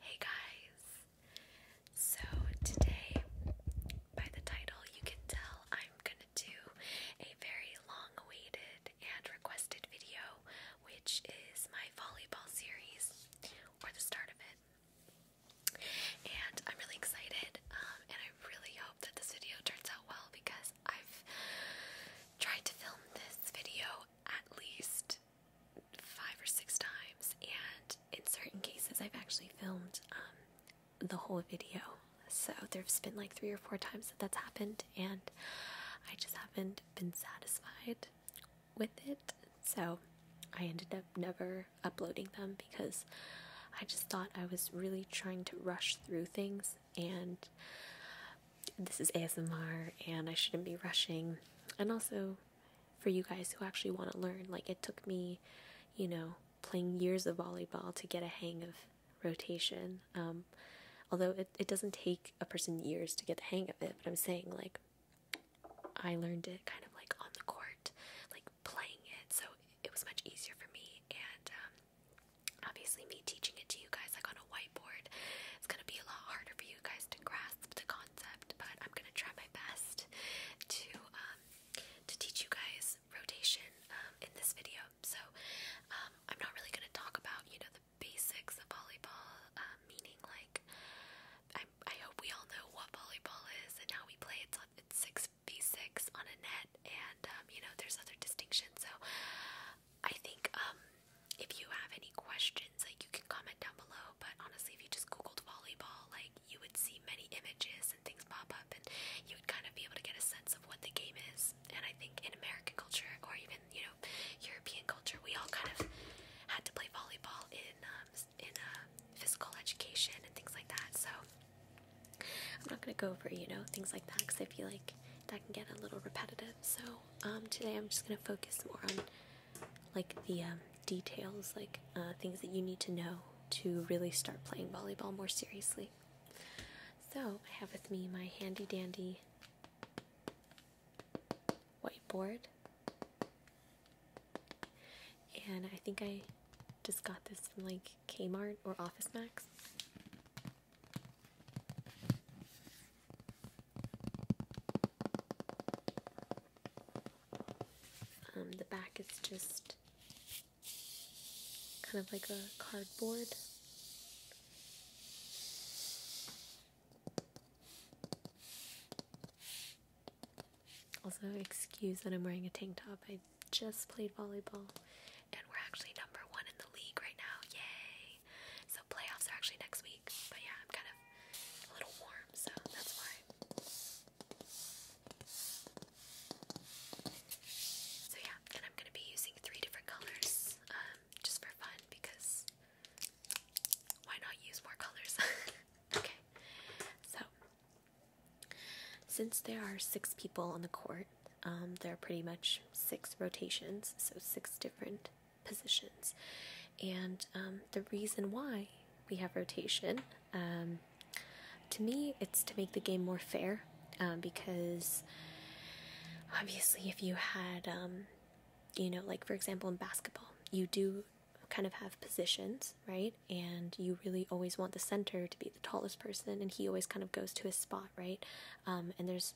Hey guys! So, today, by the title, you can tell I'm gonna do a very long awaited and requested video, which is my volleyball series, or the start of it. And I'm really excited, um, and I really hope that this video turns out well because I've tried to film this video at least five or six times, and in certain cases, I've actually filmed um, the whole video. So there's been like three or four times that that's happened, and I just haven't been satisfied with it. So I ended up never uploading them because I just thought I was really trying to rush through things, and this is ASMR, and I shouldn't be rushing. And also, for you guys who actually want to learn. Like it took me, you know, playing years of volleyball to get a hang of rotation. Um, although it, it doesn't take a person years to get the hang of it, but I'm saying like I learned it kind of like on the court, like playing it, so it was much easier for me. And um, obviously, me teaching it to you guys like on a whiteboard, it's gonna be a lot harder for you guys to grasp the concept, but I'm gonna try my best to um, to teach you guys rotation um, in this video. So um, I'm not really gonna talk about you know the basics of volleyball, meaning like I, hope we all know what volleyball is and how we play. It's it's six v six on a net, and you know there's other distinctions. So I think if you have any questions, like you can comment down below. But honestly, if you just googled volleyball, like you would see many images and things pop up, and you would kind of be able to get a sense of what the game is. And I think in American culture, or even you know European culture, we all kind of had to play volleyball in um, in uh, physical education and things like that. So I'm not gonna go over you know things like that because I feel like that can get a little repetitive. So um, today I'm just gonna focus more on like the um, details, like uh, things that you need to know to really start playing volleyball more seriously. So I have with me my handy dandy whiteboard, and I think I just got this from like Kmart or Office Max. Um, the back is just kind of like a cardboard. Also, excuse that I'm wearing a tank top. I just played volleyball and we're actually number one in the league right now. Yay! playoffs are actually next week. But yeah, I'm kind of a little warm, so that's why. So yeah, and I'm gonna be using three different colors, um, just for fun because why not use more colors? okay. So since there are six people on the court, um, there are pretty much six rotations, so six different positions. And um, the reason why we have rotation, um, to me, it's to make the game more fair um, because obviously, if you had, you know, like for example, in basketball, you do kind of have positions, right? And you really always want the center to be the tallest person, and he always kind of goes to his spot, right? and there's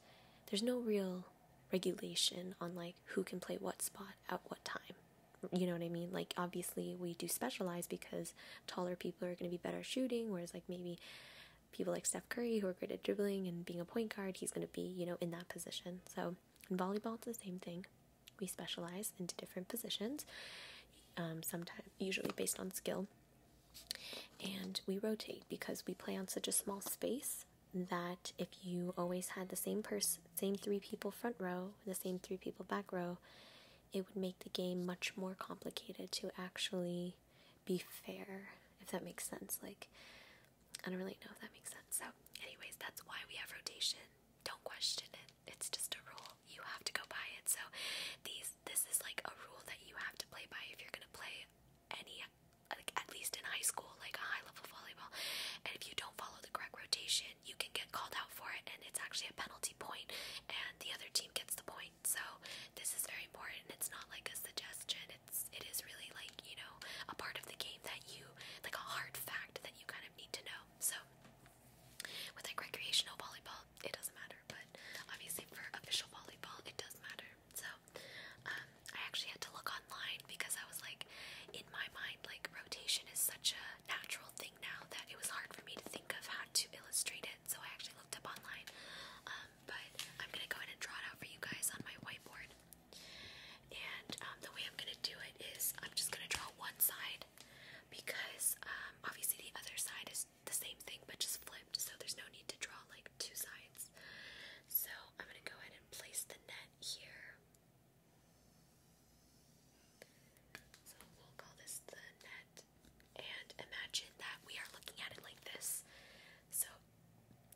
there's no real regulation on like who can play what spot at what time, you know what I mean? Like, obviously, we do specialize because taller people are going to be better shooting, whereas, like, maybe people like Steph Curry, who are great at dribbling and being a point guard, he's going to be, you know, in that position. So, in volleyball, it's the same thing. We specialize into different positions, um, sometimes, usually based on skill. And we rotate because we play on such a small space that if you always had the same person, same three people front row, the same three people back row, it would make the game much more complicated to actually be fair, if that makes sense. Like, I don't really know if that makes sense. So, anyways, that's why we have rotation. Don't question it. It's just a rule. You have to go by it. So, these this is like a rule that you have to play by if you're gonna play any, like at least in high school, like a high level volleyball. And if you don't follow follow the correct rotation, you can get called out for it, and it's actually a penalty point, and the other team gets the point. So this is very important. It's not like a suggestion. It's it is really like you know a part of the game that you like a hard fact that you kind of need to know. So with like recreational volleyball, it doesn't matter, but obviously for official volleyball, it does matter. So um, I actually had to look online because I was like, in my mind, like rotation is such a natural thing now that it was hard for me to think of how to illustrate it. So I actually looked up online. Um, but I'm gonna go ahead and draw it out for you guys on my whiteboard. And um, the way I'm gonna do it is I'm just gonna draw one side because um, obviously the other side is the same thing but just flipped, so there's no need to draw like two sides. So I'm gonna go ahead and place the net here. So we'll call this the net. And imagine that we are looking at it like this. So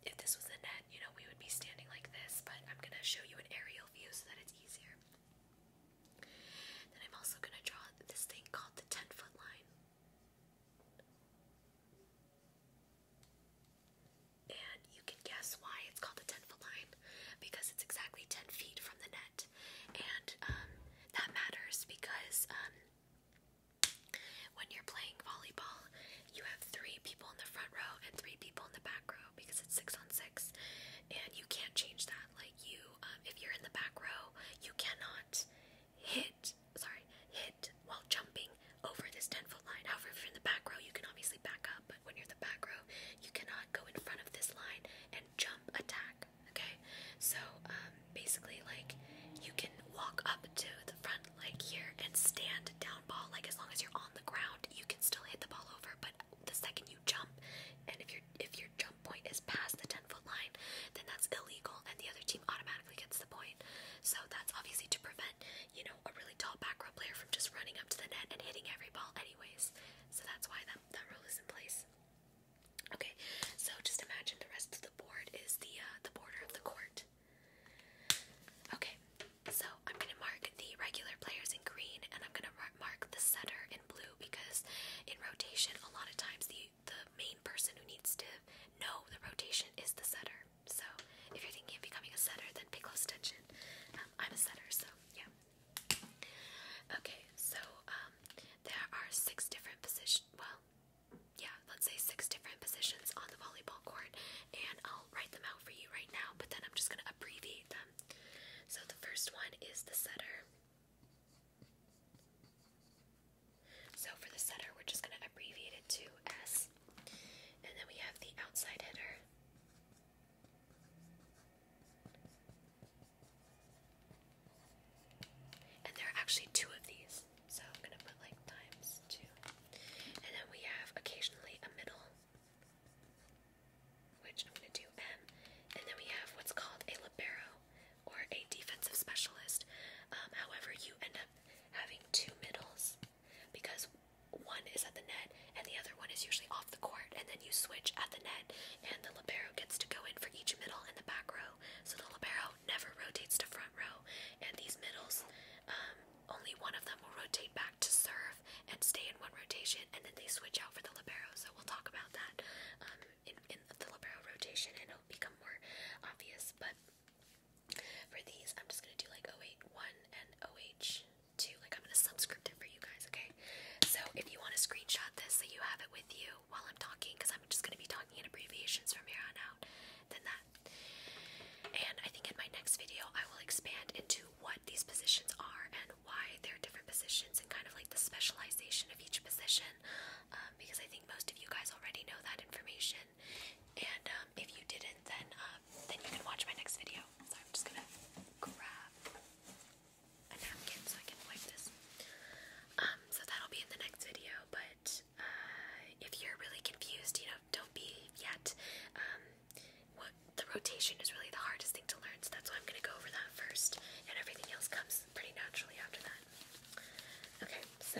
if this was a net, you know, we would be standing like this, but I'm going to show you an aerial view so that it's easier. Then I'm also going to draw this thing called the 10 foot line and you can guess why it's called a 10 foot line because it's exactly 10 feet from the net, and um, that matters because um, when you're playing volleyball, you have three people in the front row and three people in the back row because it's six on six, and you can't change that. Like, you, um, if you're in the back row, you cannot hit, sorry, hit while jumping over this 10 foot line. However, if you're in the back row, you can obviously back up when you're the back row, you cannot go in front of this line and jump attack. Okay, so um, basically, like you can walk up to the front like here and stand down ball. Like as long as you're on the ground, you can still hit the ball over. But the second you jump, and if your if your jump point is past the ten foot line, then that's illegal, and the other team automatically gets the point. So that's obviously to prevent you know, a really tall back row player from just running up to the net and hitting every ball anyways. So that's why that, that rule is in place. Okay, so just imagine the rest of the board is the uh, the border of the court. Okay, so I'm gonna mark the regular players in green, and I'm gonna mark the setter in blue because in rotation, a lot of times the the main person who needs to know the rotation is the setter. So if you're thinking of becoming a setter, then pay close attention. Um, I'm a setter, so yeah. Okay, so um, there are six different positions. Well, yeah, let's say six different positions on the volleyball court, and I'll write them out for you right now, but then I'm just going to abbreviate them. So the first one is the setter. So for the setter, we're just going to abbreviate it to S. And then we have the outside hitter. And there are actually two of these, so I'm gonna put like times two. And then we have occasionally a middle, which I'm gonna do M. And then we have what's called a libero or a defensive specialist. Um, however, you end up having two middles because one is at the net and the other one is usually off the court, and then you switch at the net, and the libero gets to go in for each middle in the back row. So the libero never rotates to front row, and these middles, um, only one of them will rotate back to serve and stay in one rotation, and then they switch out for the libero. So we'll talk about that um, in, the libero rotation, and it'll become more obvious. But for these, I'm just gonna do like 081 and OH. To Like, I'm gonna subscript it for you guys, okay? So, if you wanna screenshot this so you have it with you while I'm talking, because I'm just gonna be talking in abbreviations from here on out, then that. And I think in my next video, I will expand into what these positions are and why they're different positions and kind of like the specialization of each position. Um, because I think most of you guys already know that information. And um, if you didn't, then um, then you can watch my next video. So I'm just gonna grab a napkin so I can wipe this. Um, so that'll be in the next video, but uh, if you're really confused, you know, don't be yet. Um, what the rotation is really the hardest thing to learn, so that's why I'm gonna go over that first, and everything else comes pretty naturally after that. Okay, so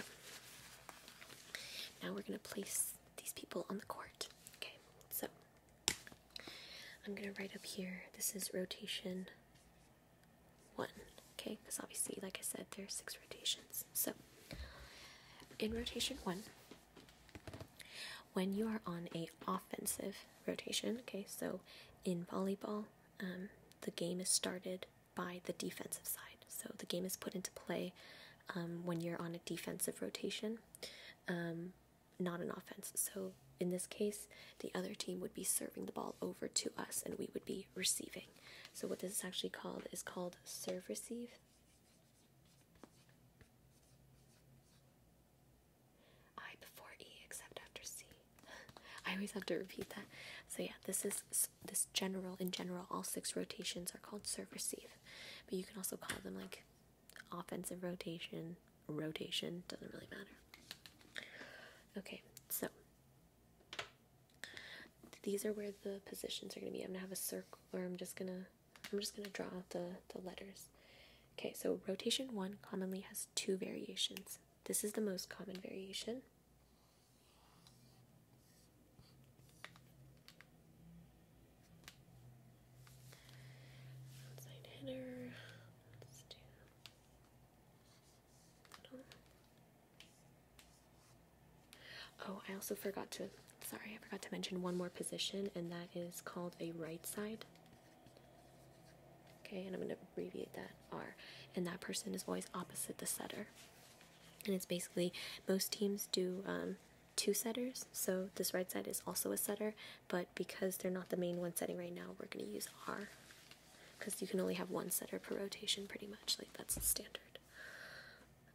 now we're gonna place these people on the court. Okay, so I'm gonna write up here this is rotation one, okay? Because obviously, like I said, there are six rotations. So, in rotation one, when you are on a offensive rotation, okay, so in volleyball, um, the game is started by the defensive side. So the game is put into play um, when you're on a defensive rotation. Um, not an offense. So in this case, the other team would be serving the ball over to us and we would be receiving. So what this is actually called is called serve receive. I before E except after C. I always have to repeat that. So yeah, this is this general in general all six rotations are called serve receive. But you can also call them like offensive rotation, rotation, doesn't really matter. Okay, so these are where the positions are going to be. I'm going to have a circle, or I'm just going to, I'm just going to draw the, the letters. Okay, so rotation one commonly has two variations. This is the most common variation. Outside hitter. Oh, I also forgot to. Sorry, I forgot to mention one more position, and that is called a right side. Okay, and I'm going to abbreviate that R. And that person is always opposite the setter. And it's basically most teams do um, two setters, so this right side is also a setter, but because they're not the main one setting right now, we're going to use R because you can only have one setter per rotation pretty much, like that's the standard.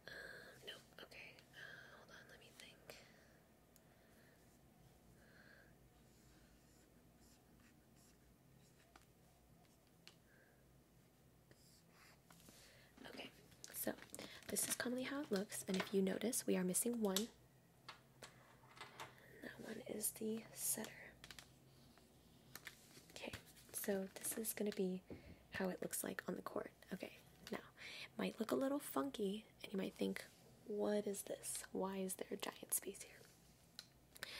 Uh, okay, hold on, let me think. Okay, so this is commonly how it looks, and if you notice, we are missing one that one is the setter. Okay, so this is going to be how it looks like on the court. Okay, now it might look a little funky, and you might think, what is this? Why is there a giant space here?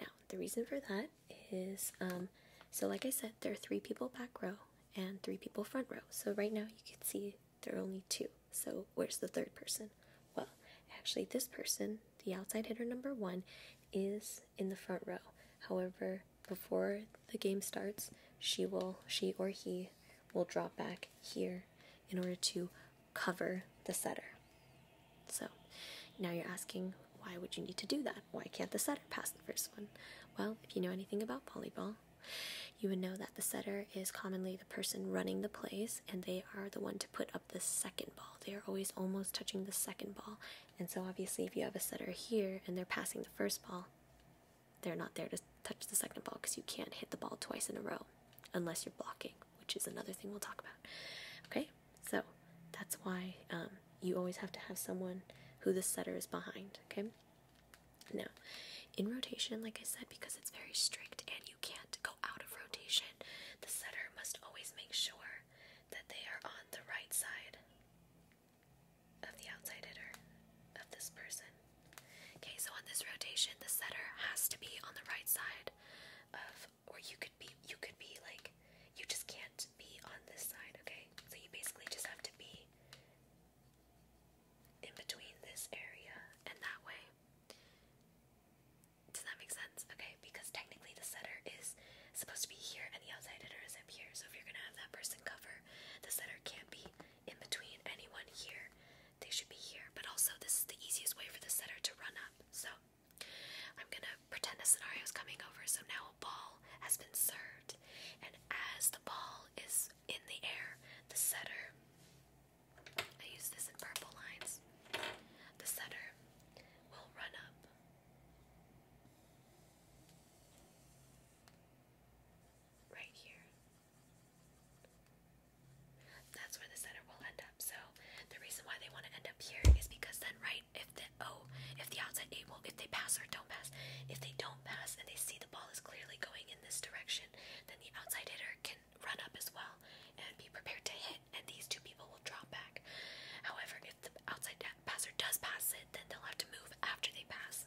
Now, the reason for that is um, so, like I said, there are three people back row and three people front row. So, right now you can see there are only two. So where's the third person? Well, actually, this person, the outside hitter number one, is in the front row. However, before the game starts, she will, she or he will drop back here in order to cover the setter. So now you're asking, why would you need to do that? Why can't the setter pass the first one? Well, if you know anything about volleyball, you would know that the setter is commonly the person running the plays and they are the one to put up the second ball. They are always almost touching the second ball. And so, obviously, if you have a setter here and they're passing the first ball, they're not there to touch the second ball because you can't hit the ball twice in a row unless you're blocking, which is another thing we'll talk about. Okay, so that's why um, you always have to have someone who the setter is behind. Okay, now in rotation, like I said, because it's very strict and you can't go out of rotation. The setter must always make sure that they are on the right side of the outside hitter of this person. Okay, so on this rotation, the setter has to be on the right side of, or you could be, you could be like, you just can't be on this side, okay? So you basically just have to be in between this area and that way. Does that make sense? Okay, because technically the setter is supposed to be here and the outside hitter is up here. So if you're gonna have that person cover, the setter can't be in between anyone here. They should be here. But also this is the easiest way for the setter to run up. So I'm gonna pretend a scenario is coming over. So now a ball has been served, and as the ball is in the air, the setter I use this in purple lines. The setter will run up. Right here. That's where the center will end up. So the reason why they want to end up here is because then, right, if the oh, if the outside eight if they pass or don't pass, if they don't pass and they see the ball is clearly going in this direction, then the outside hitter can run up as well and be prepared to hit, and these two people will drop back. However, if the outside passer does pass it, then they'll have to move after they pass.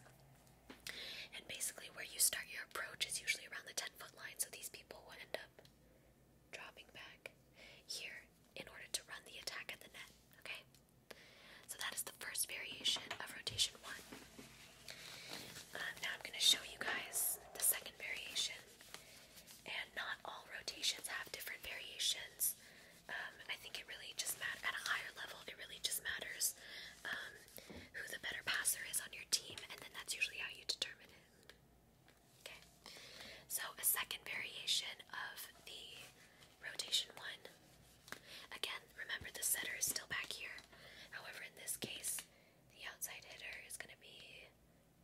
And basically, where you start your approach is usually around the 10 foot line, so these people will end up dropping back here in order to run the attack at the net. Okay? So that is the first variation of rotation one. Uh, now I'm going to show you guys the second variation. And not all rotations have different variations. Um, I think it really just at a higher level, it really just matters um, who the better passer is on your team, and then that's usually how you determine it. Okay, so a second variation of the rotation one. Again, remember the setter is still back here. However, in this case, the outside hitter is going to be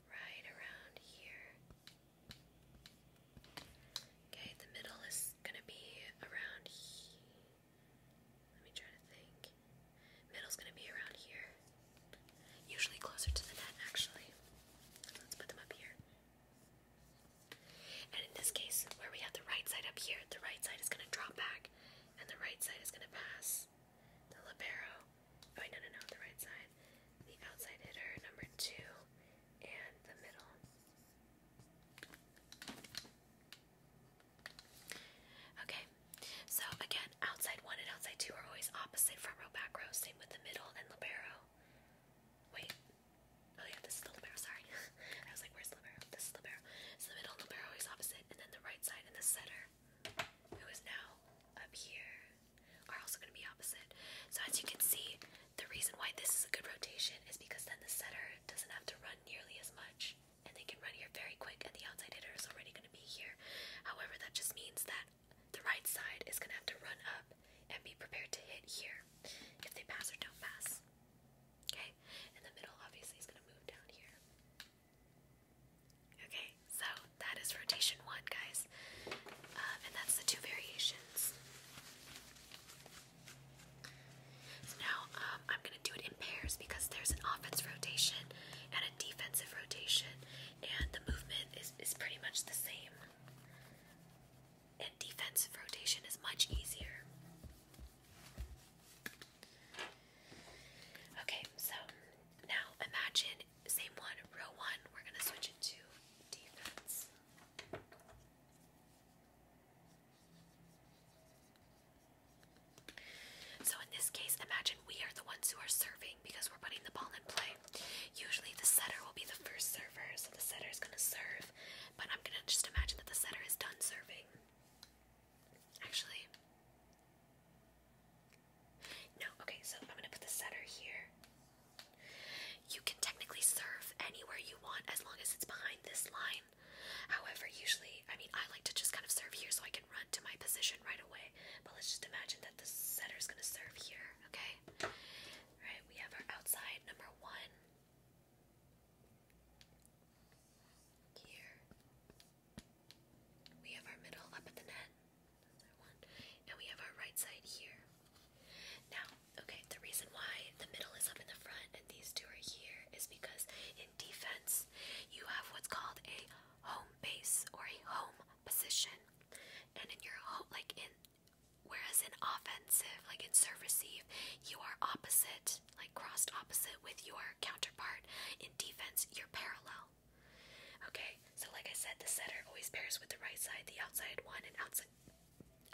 right around here. Okay, the middle is going to be around here. Let me try to think. Middle's going to be around here. Usually closer to the net, actually. let's put them up here. And in this case, where we have the right side up here, the right side is going to drop back, and the right side is going to pass the libero. Oh no, no, no, the right side. The outside hitter, number two, and the middle. Okay, so again, outside one and outside two are always opposite front row, back row. Same with the middle and libero. Wait, oh yeah, this is the libero. Sorry, I was like, where's libero? This is libero. So the middle libero is opposite, and then the right side and the center who is now up here, are also going to be opposite. So as you can see, the reason why this is a good rotation is because then the setter doesn't have to run nearly as much and they can run here very quick and the outside hitter is already going to be here. However, that just means that the right side is going to have to run up and be prepared to hit here if they pass or don't pass. Okay? And the middle obviously is going to move down here. Okay, so that is rotation one, guys. Uh, and that's the two variations. now um, I'm going to do it in pairs because there's an offense rotation and a defensive rotation, and the movement is, is pretty much the same. And defensive rotation is much easier. Okay, so now imagine same one, row one, we're gonna switch it to defense. So in this case, imagine we are the ones who are serving because we're putting the ball in play. Usually the setter will be the first server, so the setter is gonna serve, but I'm gonna just imagine that the setter is done serving. Actually, no, okay, so I'm gonna put the setter here. You can technically serve anywhere you want as long as it's behind this line. However, usually, I mean, I like to just kind of serve here so I can run to my position right away. But let's just imagine that the is gonna serve here, okay? Alright, we have our outside number one. Here. We have our middle up at the net. And we have our right side here. Now, okay, the reason why the middle is up in the front and these two are here is because in defense, you have what's called a home base or a home position. And in your home, like in, whereas in offensive, like in serve receive, you are opposite, like crossed opposite with your counterpart. In defense, you're parallel. Okay, so like I said, the setter always pairs with the right side, the outside one, and outside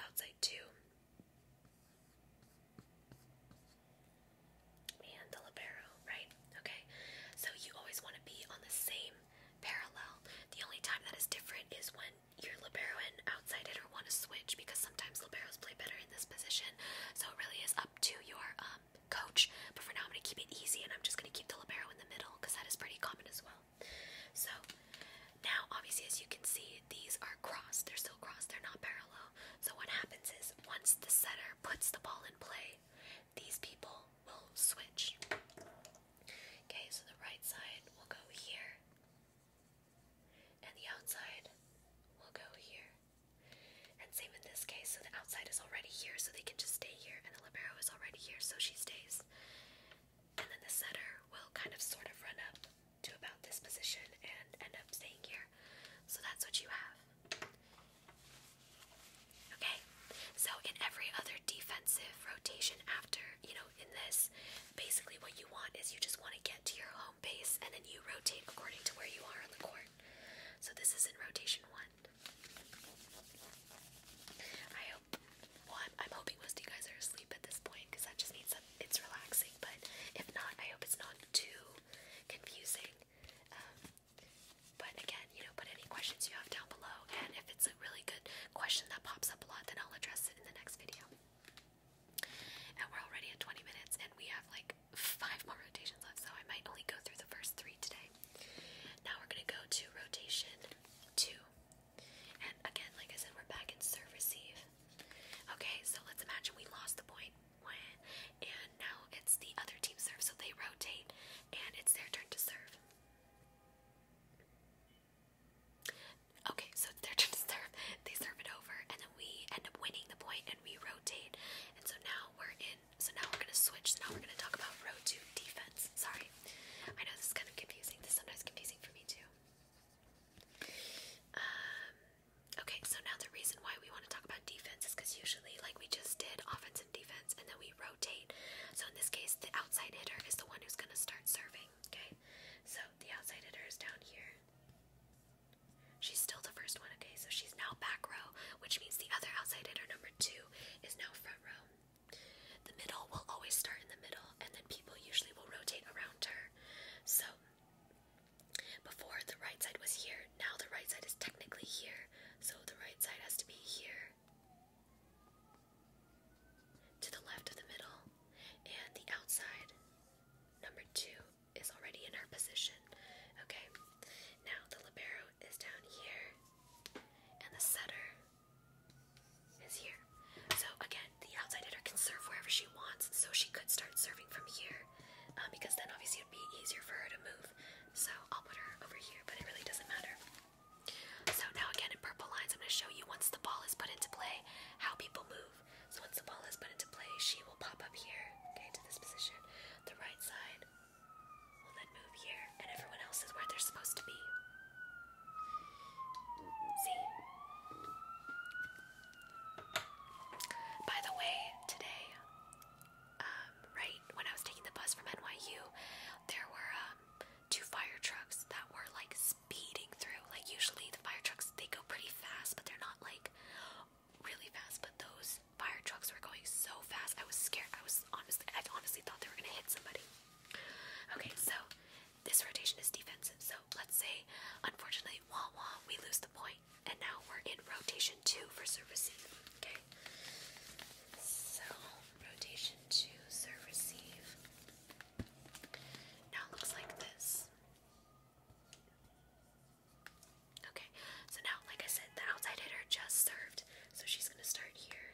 outside two. And the libero, right? Okay, so you always want to be on the same parallel. The only time that is different is when your libero and outside hitter want to switch because sometimes liberos play better in this position. So it really is up to your um, coach. But for now, I'm going to keep it easy and I'm just going to keep the libero in the middle because that is pretty common as well. So now, obviously, as you can see, these are crossed. They're still crossed. They're not parallel. So what happens is once the setter puts the ball in play, these people will switch. Okay, so the right side will go here, and the outside will go here. And same in this case, so the outside is already here, so they can just stay here, and the libero is already here, so she stays. And then the center will kind of sort of run up to about this position and end up staying here. So that's what you have. Okay, so in every other defensive rotation after, you know, in this, basically what you want is you just want to get to your home base and then you rotate according to where you are on the court. So this is in rotation one. I hope. Well, I'm, hoping most you guys are asleep at this point because that just means it's relaxing. But if not, I hope it's not too confusing. Um, but again, you know, put any questions you have down below, and if it's a really good question that pops up a lot, then I'll address it in the next video. And we're already at 20 minutes, and we have like five more rotations left, so I might only go through the first three today. Now we're going to go to rotation two. And again, like I said, we're back in serve receive. Okay, so let's imagine we lost the and now it's the other team serve, so they rotate, and it's their turn to serve. Okay, so it's their turn to serve. They serve it over, and then we end up winning the point, and we rotate. And so now we're in so now we're gonna switch. So now we're gonna talk about row two defense. Sorry, I know this is kind of confusing. This is sometimes confusing for me too. Um, okay, so now the reason why we want to talk about defense is because usually, like we just did, offense and defense, and then we rotate. So in this case, the outside hitter is the one who's gonna start serving. Okay, so the outside hitter is down here. She's still the first one, okay? So she's now back row, which means the other outside hitter, number two, is now front the middle will always start in the middle, and then people usually will rotate around her. So, before the right side was here, now the right side is technically here, so the right side has to be here to the left of the middle, and the outside, number two, is already in our position. Okay, now the libero is down here, and the setter is here. So again, the outside hitter can serve wherever she wants. So she could start serving from here, um, because then obviously it would be easier for her to move. So I'll put her over here, but it really doesn't matter. So now again in purple lines, I'm going to show you once the ball is put into play how people move. So once the ball is put into play, she will pop up here, okay, to this position, the right side will then move here, and everyone else is where they're supposed to be. See? By the way, today, um, right when I was taking the bus from NYU, there were um, two fire trucks that were like speeding through. Like, usually the fire trucks, they go pretty fast, but they're not like really fast. But those fire trucks were going so fast, I was scared. I was honestly, I honestly thought they were gonna hit somebody. Okay, so this rotation is defensive. So let's say, unfortunately, wah wah, we lose the point, and now we're in rotation two for service receive. Okay, so rotation two, serve receive. Now it looks like this. Okay, so now, like I said, the outside hitter just served, so she's gonna start here.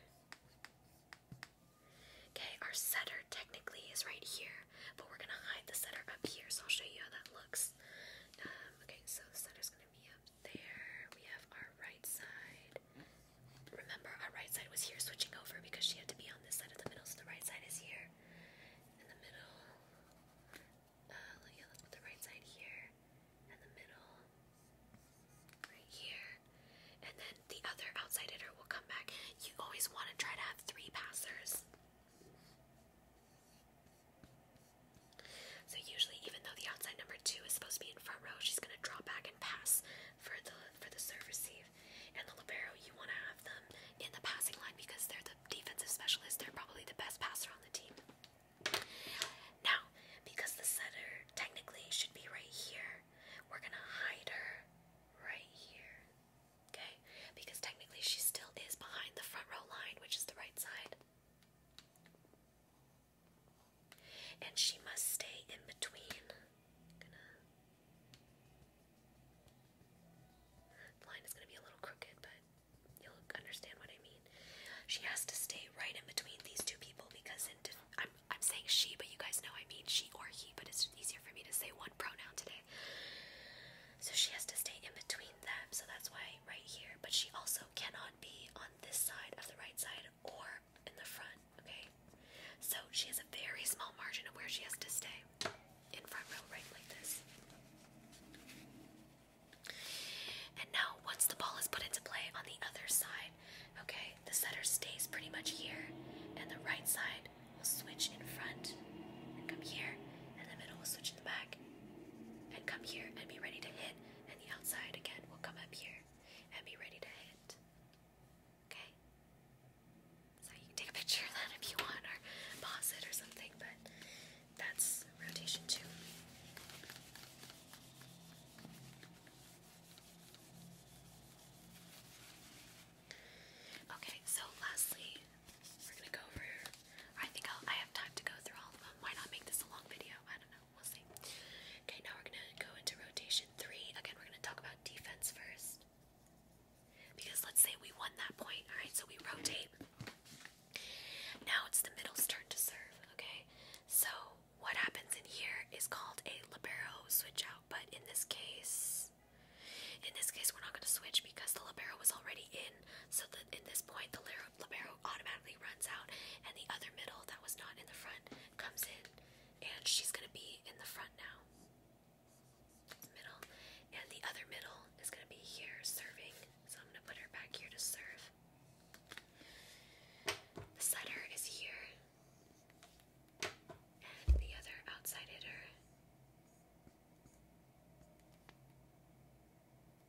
Okay, our center technically is right here, but we're gonna hide the center up here, so I'll show you how that looks. Um, okay, so the setter's gonna be up there. We have our right side. Remember, our right side was here switching over because she had to be on this side of the middle, so the right side is here in the middle. Uh, yeah, let's put the right side here in the middle right here. And then the other outside hitter will come back. You always want to try to have three passers. So usually even though the outside number two is supposed to be in front row, she's gonna draw back and pass for the for the serve receive. And the libero, you wanna have them in the passing line because they're the defensive specialist, they're probably the best passer on the team. Now, because the setter technically should be right here, we're gonna hide her right here. Okay? Because technically she still is behind the front row line, which is the right side. And she must stay in between. the line is gonna be a little crooked, but you'll understand what I mean. She has to stay right in between these two people because in I'm I'm saying she, but you guys know I mean she or he, but it's easier for me to say one pronoun today. So she has to stay in between them, so that's why right here. But she also cannot be on this side of the right side or in the front, okay? So she has a very small margin of where she has to stay in front row, right, like this. And now, once the ball is put into play on the other side, Okay, the setter stays pretty much here, and the right side will switch in front and come here, and the middle will switch in the back and come here and be ready to hit, and the outside again will come up here and be ready to hit. Okay? So you can take a picture of that if you want, or pause it or something, but that's rotation two. Okay, so lastly, we're gonna go over. I think I'll, I have time to go through all of them. Why not make this a long video? I don't know. We'll see. Okay, now we're gonna go into rotation three. Again, we're gonna talk about defense first. Because let's say we won that point, alright? So we rotate. Now it's the middle's turn to serve, okay? So what happens in here is called a libero switch out, but in this case, in this case, we're not going to switch because the libero was already in. So that in this point, the libero automatically runs out, and the other middle that was not in the front comes in, and she's going to be in the front now. Middle, and the other middle is going to be here serving. So I'm going to put her back here to serve. The setter is here. The other outside hitter.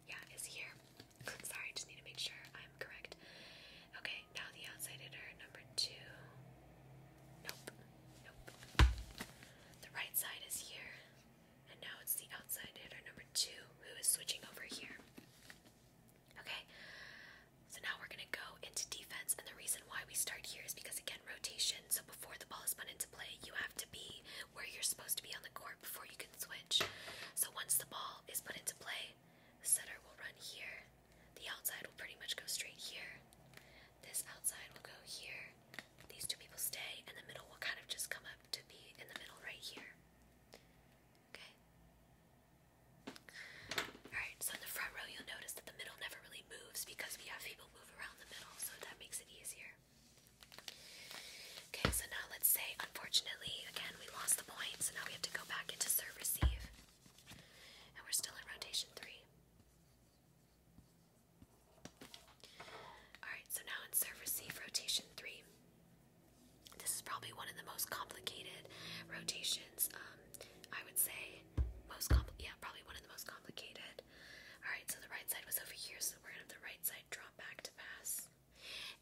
Yeah, is here. Sorry, just need to make sure I'm correct. Okay, now the outside number two. Nope, nope. The right side is here. And now it's the outside hitter, number two, who is switching over here. Okay, so now we're going to go into defense, and the reason why we start here is because again, rotation. So before the ball is put into play, you have to be where you're supposed to be on the court before you can switch. So once the ball is put into play, the setter will run here. The outside will pretty much go straight here. This outside will go here. These two people stay, and the middle will kind of just come up to be in the middle right here. Okay? Alright, so in the front row, you'll notice the middle never really moves because we have people move around the middle, so that makes it easier. Okay, so now let's say, unfortunately, again, we lost the point, so now we have to go back into serve receive. And we're still in rotation three. Alright, so now in serve receive rotation three. This is probably one of the most complicated rotations. Um, I would say most compl yeah, probably one of the most complicated. All right, so the right side was over here, so we're gonna have the right side drop back to pass.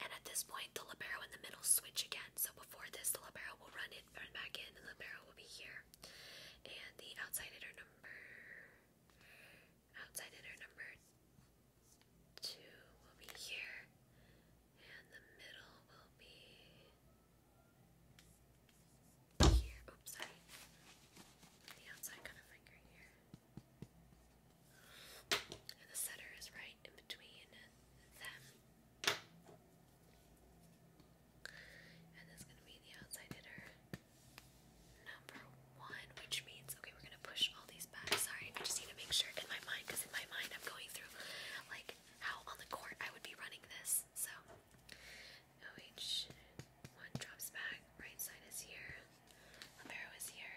And at this point, the libero in the middle switch again. So before this, the libero will run it, run back in, and the libero will be here. And the outside hitter number, outside hitter number two will be here and the middle will be here. Oops, The outside kind of finger here. And the center is right in between them. And this is going to be the outside hitter number one, which means, okay, we're going to push all these back. Sorry, I just need to make sure in my mind, because in my mind I'm going through like how on the court I would be running this. So one drops back, right side is here, Libero is here.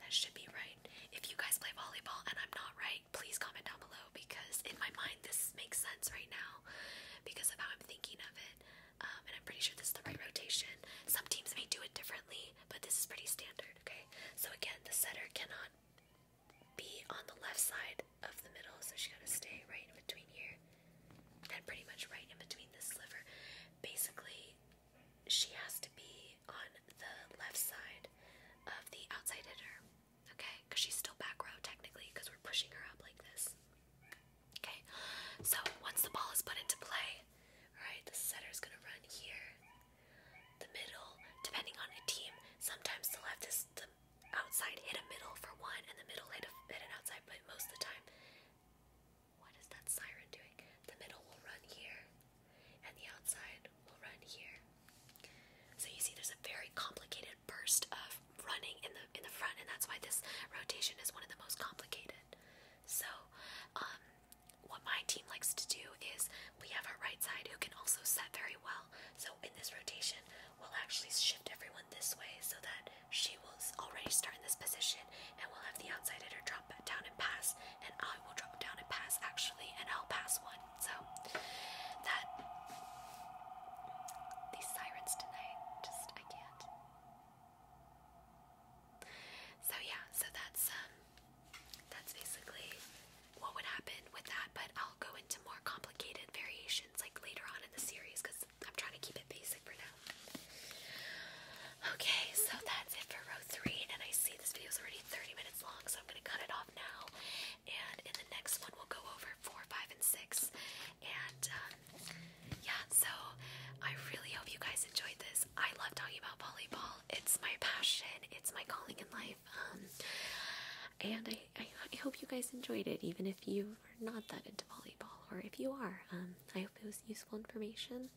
That should be right. If you guys play volleyball and I'm not right, please comment down below because in my mind this makes sense right now because of how I'm thinking of it. Um, and I'm pretty sure this is the right rotation. Some teams may do it differently, but this is pretty standard, okay? So again, the setter cannot be on the left side of the middle, so she has gotta stay right in between here and pretty much right in between this sliver. Basically, she has to be on the left side of the outside hitter, okay? Because she's still back row technically, because we're pushing her up like this. Okay, so once the ball is put into play, alright, the setter's gonna run here the middle, depending on a team, sometimes they'll have the outside hit a middle for one, and the middle hit, a, hit an outside, but most of the time, what is that siren doing? The middle will run here, and the outside will run here. So you see, there's a very complicated burst of running in the in the front, and that's why this rotation is one of the most complicated. So, um, what my team likes to do is we have our right side who can also set very well. So in this rotation, we'll actually shift everyone this way so that she will already start in this position and we'll have the outside hitter drop down and pass and I will drop down and pass actually and I'll pass one. So that these sirens tonight just I can't. So yeah, so that's um that's basically what would happen with that, but I'll go into more complicated variations like later on in the series because I'm trying to keep it basic for now. Okay, so that's it for row three, and I see this video is already 30 minutes long, so I'm going to cut it off now. And in the next one, we'll go over four, five, and six. And uh, yeah, so I really hope you guys enjoyed this. I love talking about volleyball. It's my passion. It's my calling in life. Um, and I, hope you guys enjoyed it, even if you are not that into volleyball, or if you are. Um, I hope it was useful information.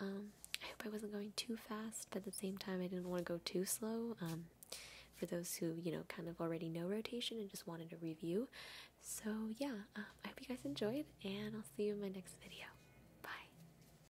Um, I hope I wasn't going too fast, but at the same time, I didn't want to go too slow. for those who you know kind of already know rotation and just wanted a review. So yeah, I hope you guys enjoyed, and I'll see you in my next video. Bye.